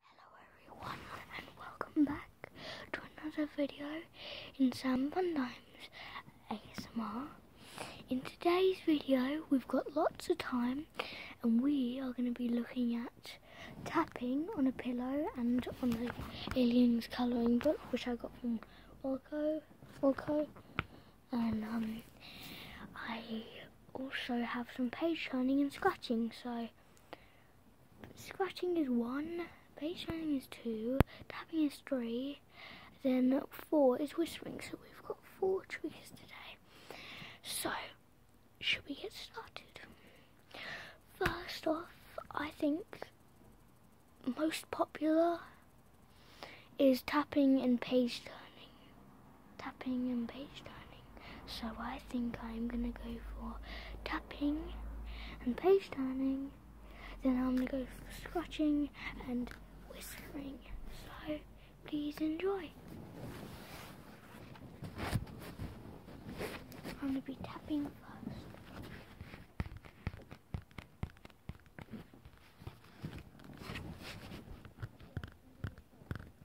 Hello everyone and welcome back to another video in Sam Van Dime's ASMR. In today's video we've got lots of time and we are going to be looking at tapping on a pillow and on the Aliens colouring book which I got from Orco. Orco. And um, I also have some page turning and scratching so Scratching is one, base running is two, tapping is three, then four is whispering. So we've got four triggers today. So, should we get started? First off, I think most popular is tapping and page turning tapping and page turning. So I think I'm gonna go for tapping and page turning. Then I'm gonna go for scratching and whistling. So please enjoy. I'm gonna be tapping first.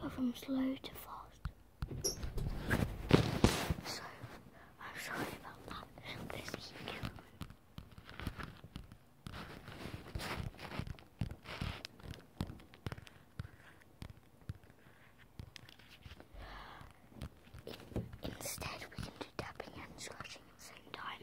Go from slow to fast. So, I'm sorry about that. This is killing instead, we can do tapping and scratching at the same time.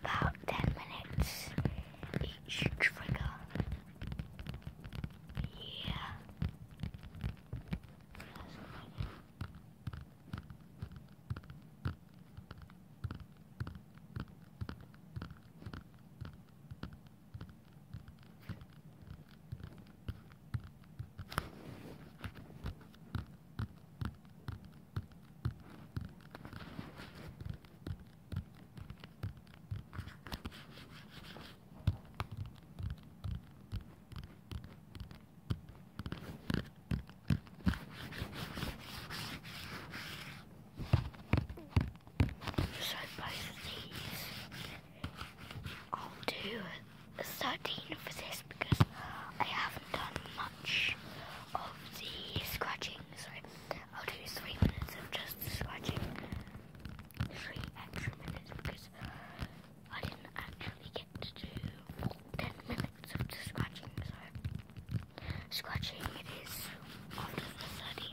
about 10 minutes each trigger. Yeah. So both of I'll do a 13 for this because I haven't done much of the scratching, so I'll do three minutes of just scratching. Three extra minutes because I didn't actually get to do ten minutes of just scratching, so scratching it is after the study.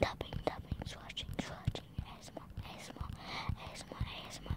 Tapping, tapping, swatching, swatching, asthma, asthma, asthma, asthma,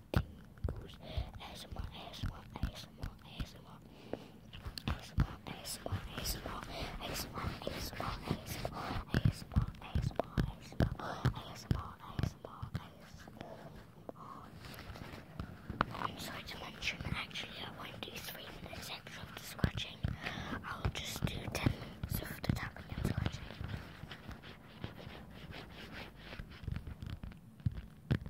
tingles. ASMR, I'm sorry to mention, actually I won't do three minutes of the I'll just do ten minutes tapping and scratching.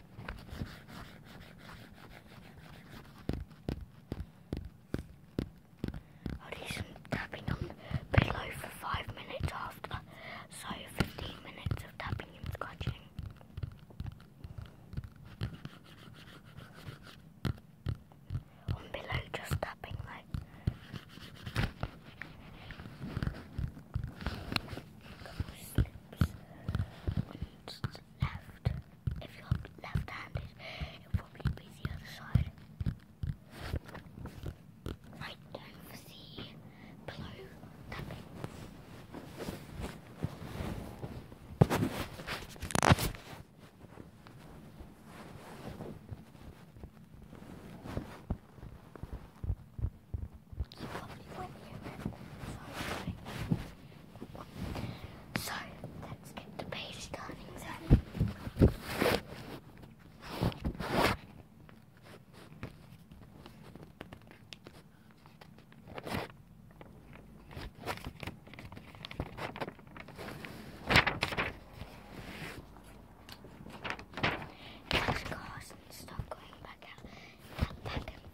i tapping on the for 5 minutes after, so 15 minutes of tapping and scratching. On below, just tapping like left. If you're left-handed, it'll probably be the other side. Right down for the pillow tapping only one So let's get the page starting then. Cars and stuff going back out, back, back and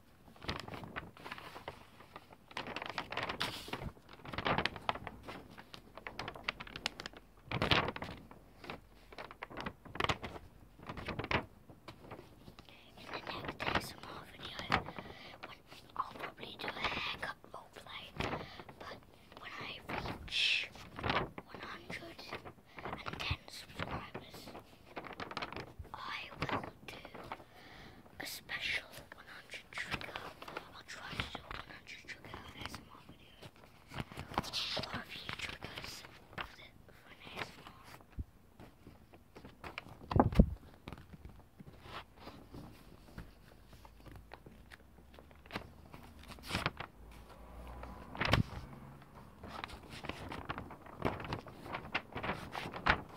In the next ASMR video, when I'll probably do a haircut roleplay, but when I reach 110 subscribers, I will do a special 100 trigger. I'll try to do a 100 trigger ASMR video. Or a few triggers for, the, for an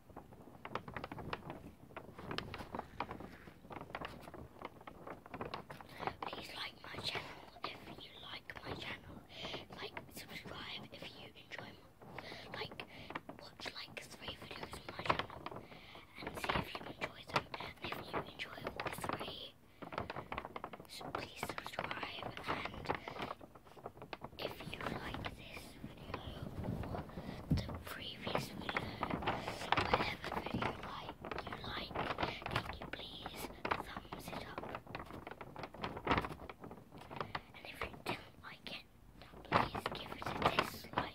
Please like my channel if you like my channel. Like, subscribe if you enjoy my, like, watch like three videos on my channel and see if you enjoy them. And if you enjoy all three, please subscribe and if you like this video or the previous video, whatever video you like, can you please thumbs it up? And if you don't like it, please give it a dislike.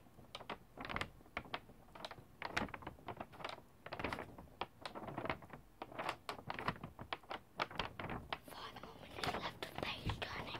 the moment is left with page turning.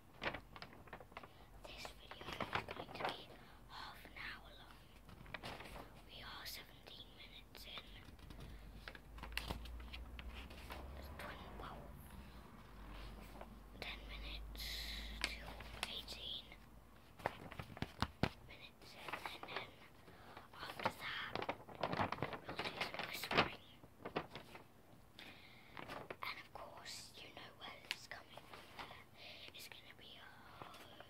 This video is going to be half an hour long. We are 17 minutes in. It's 10 minutes to 18 minutes and then after that, we'll do some whispering. And of course, you know where it's coming from It's going to be a whole lot of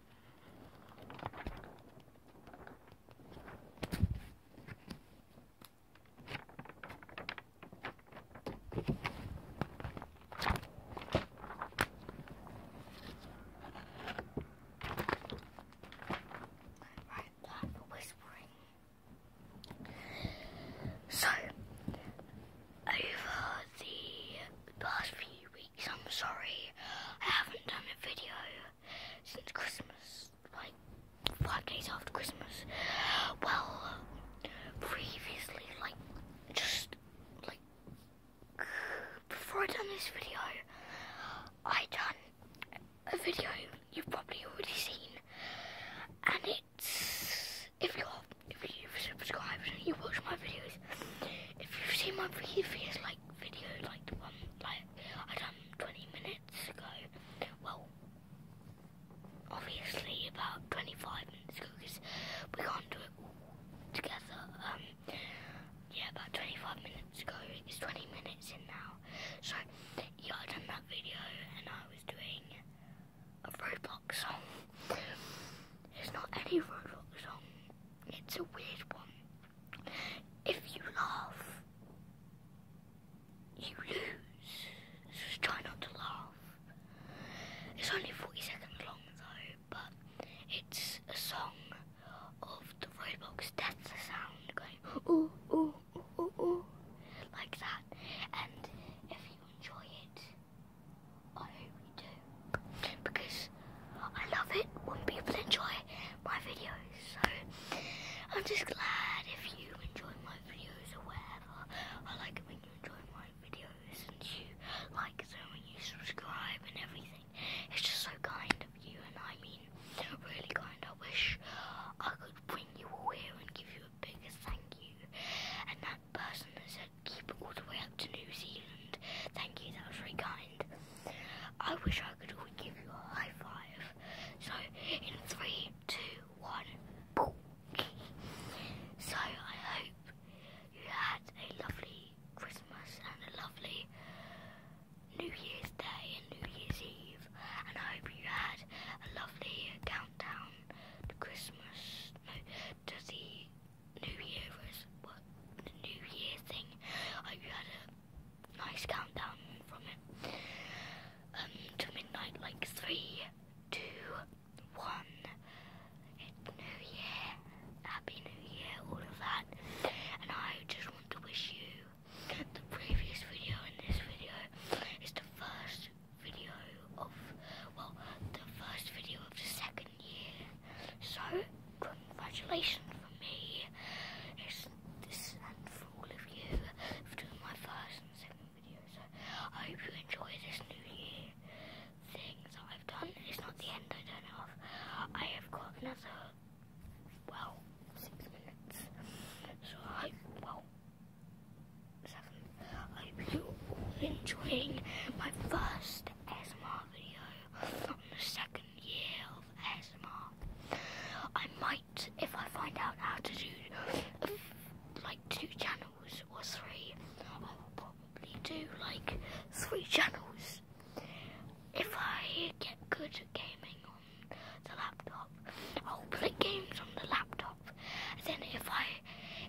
Right, that whispering. So, over the past few I'm sorry, I haven't done a video since Christmas, like five days after Christmas. Well, previously, like just like before I done this video, I done a video you've probably already seen, and it's if you are if you have subscribed and you watch my videos, if you've seen my previous like video, like the one like I done 20 minutes ago, well, obviously about 25 minutes ago because we can't do it together. Um, yeah, about 25 minutes ago. It's 20 minutes in now. So yeah, I done that video and I was doing a Roblox song. It's not any Roblox song it's a weird one. If you laugh, you lose. just try not to laugh. It's only 40 seconds long though, but it's a song of the Roblox death sound going ooh ooh ooh ooh ooh like that. And if you enjoy it, I hope you do because I love it when people enjoy my videos. So I'm just glad if you enjoy my videos or whatever. I like it when you enjoy my videos and you like them and you subscribe and everything. It's just so kind of you and I mean really kind. I wish I could bring you all here and give you a bigger thank you. And that person that said keep all the way up to New Zealand. Thank you, that was very kind. I wish I could give you a high five. So, in three, two, one, boom. so, I hope you had a lovely Christmas and a lovely New Year's Day and New Year's Eve. And I hope you had a lovely countdown to Christmas, no, to New Year's, was what the New Year thing. I had a nice countdown from it um, to midnight, like three, two, one. New Year, Happy New Year, all of that. And I just want to wish you the previous video in this video is the first video of well, the first video of the second. So, congratulations for me it's this and for all of you for doing my first and second video. So, I hope you enjoy this new year Things that I've done. It's not the end, I don't know. I have got another, well, six minutes. So, I hope, well, seven. I hope you're enjoying my first ASMR video the second year of ASMR. I might, if I find out how to do like two channels or three, I will probably do like three channels. If I get good at gaming on the laptop, I'll play games on the laptop. And then if I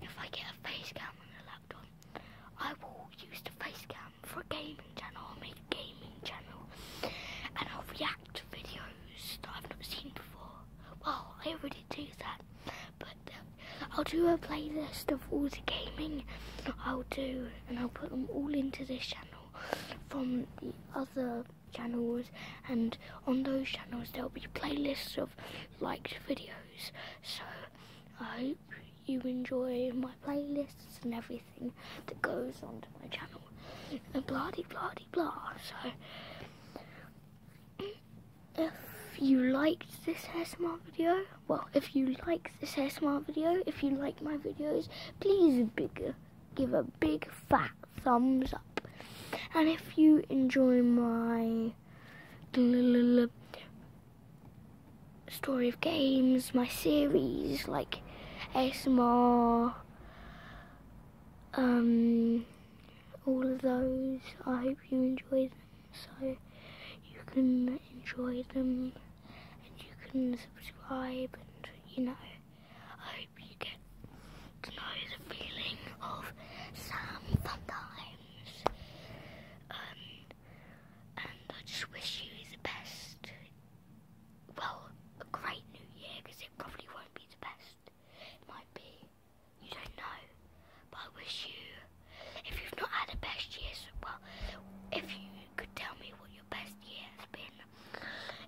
if I get a face cam on the laptop, I will use the face cam for a gaming channel. I'll make a gaming channel and I'll react to videos that I've not seen before. Well, I already do that, but uh, I'll do a playlist of all the gaming I'll do and I'll put them all into this channel from the other channels and on those channels there'll be playlists of liked videos so I hope you enjoy my playlists and everything that goes onto my channel and blah de blah de So if you liked this ASMR video, well if you like this ASMR video, if you like my videos, please big, give a big fat thumbs up. And if you enjoy my story of games, my series, like ASMR, um, all of those. I hope you enjoy them so you can enjoy them and you can subscribe and, you know, I hope you get to know the feeling of some fun times. Um, and I just wish you the best. Well, a great new year because it probably won't be the best. It might be. You don't know. But I wish you, if you've not had a best year, so well, if you could tell me what your best year has been,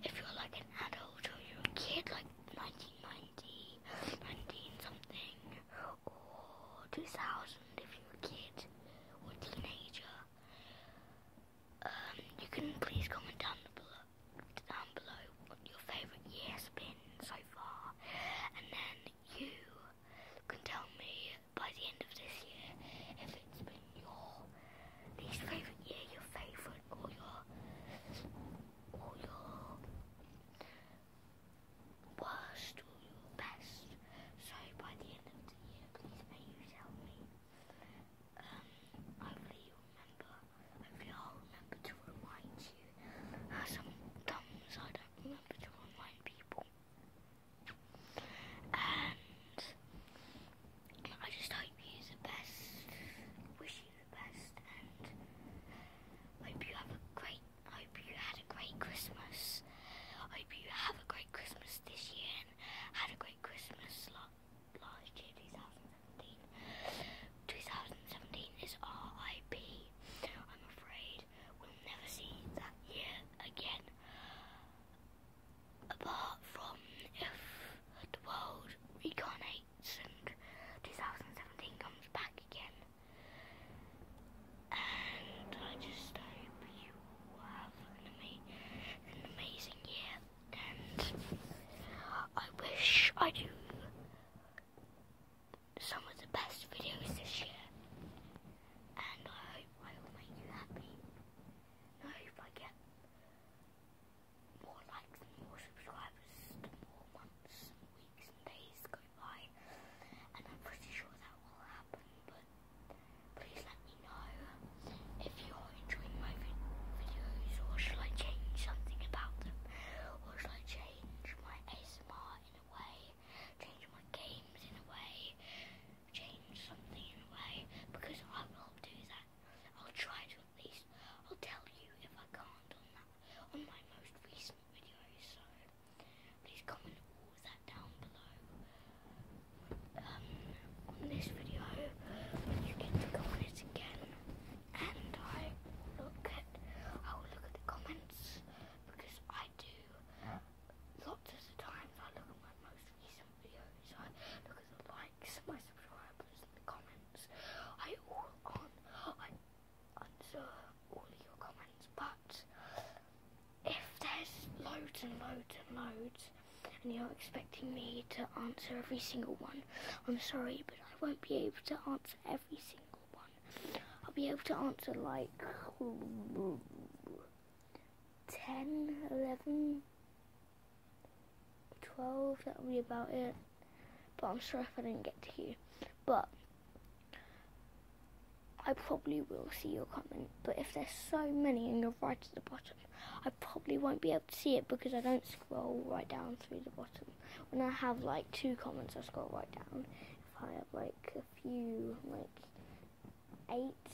if you're like an adult or you're a kid, like 1990, 19 something or 2000 if you're a kid or a teenager. Um, you can please comment down below, down below what your favourite year been so far, and then you can tell me by the end of this year if it's been your least favourite year, your favourite, or your or your was to you best? Sorry, by the end of the year, please may you tell me. Um, hopefully you remember, hopefully I'll remember to remind you. Uh, sometimes I don't remember to remind people. And I just hope you the best, wish you the best, and hope you have a great I hope you had a great Christmas. I hope you have a great Christmas this year and had a great Christmas last, last year, 2017. is RIP. I'm afraid we'll never see that year again. Apart from if the world recarnates and 2017 comes back again. And I just hope you have an, amazing year. And I wish I do some of the best videos this year. And I hope I will make you happy. I hope I get more likes more subscribers more months weeks and days and I'm pretty sure that will happen. But please let me know if you're enjoying my videos, or shall I change something about them, or shall I change my ASMR in a way, change my games in a way, change something in a way, because I will do that. I'll try to at least. I'll tell you if I can't on that on my most recent awesome so please comment all of that down below. Um, on this video, you get to comment again, and I look at I look at the comments because I do lots of the times I look at my most recent videos. I look at the likes, my subscribers, and the comments. I all on answer all your comments, but if there's loads and loads and loads, and you're expecting me to answer every single one, I'm sorry, but I won't be able to answer every single one. I'll be able to answer like 10, 11, 12, that'll be about it. But I'm sorry if I didn't get to you. But I probably will see your comment, but if there's so many and you're right at the bottom, I probably won't be able to see it because I don't scroll right down through the bottom. When I have like two comments, I scroll right down. If I have like a few, like eight,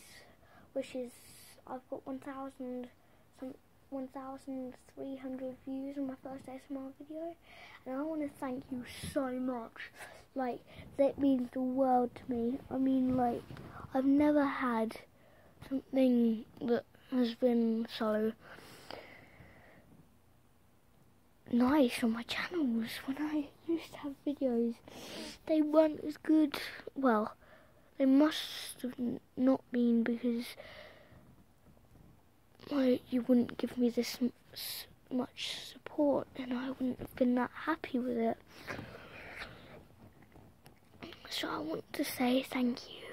which is I've got 1,000 some 1,300 views on my first ASMR video and I want to thank you so much. Like, that means the world to me. I mean, like, I've never had something that has been so nice on my channels. When I used to have videos, they weren't as good. Well, they must have not been because why you wouldn't give me this much support and I wouldn't have been that happy with it. So I want to say thank you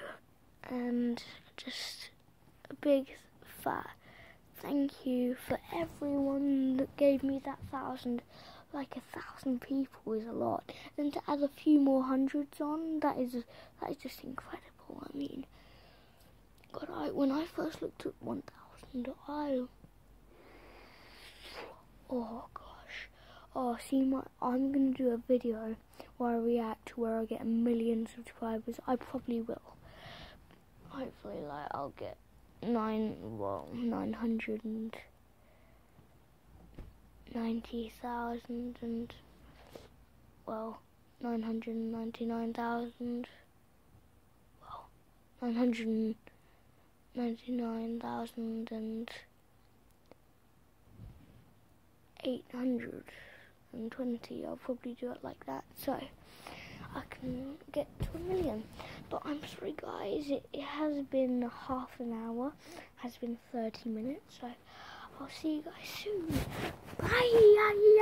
and just a big fat thank you for everyone that gave me that thousand. Like a thousand people is a lot, and to add a few more hundreds on, that is that is just incredible. I mean, God, I, when I first looked at 1,000, I... Oh, gosh. Oh, see, my, I'm going to do a video where I react to where I get a million subscribers. I probably will. Hopefully, like, I'll get nine, well, 990,000 and, well, 999,000 well, 999,000 and 820. I'll probably do it like that. So, I can get to a million. But I'm sorry guys, it, has been half an hour, has been 30 minutes. So, I'll see you guys soon. Bye!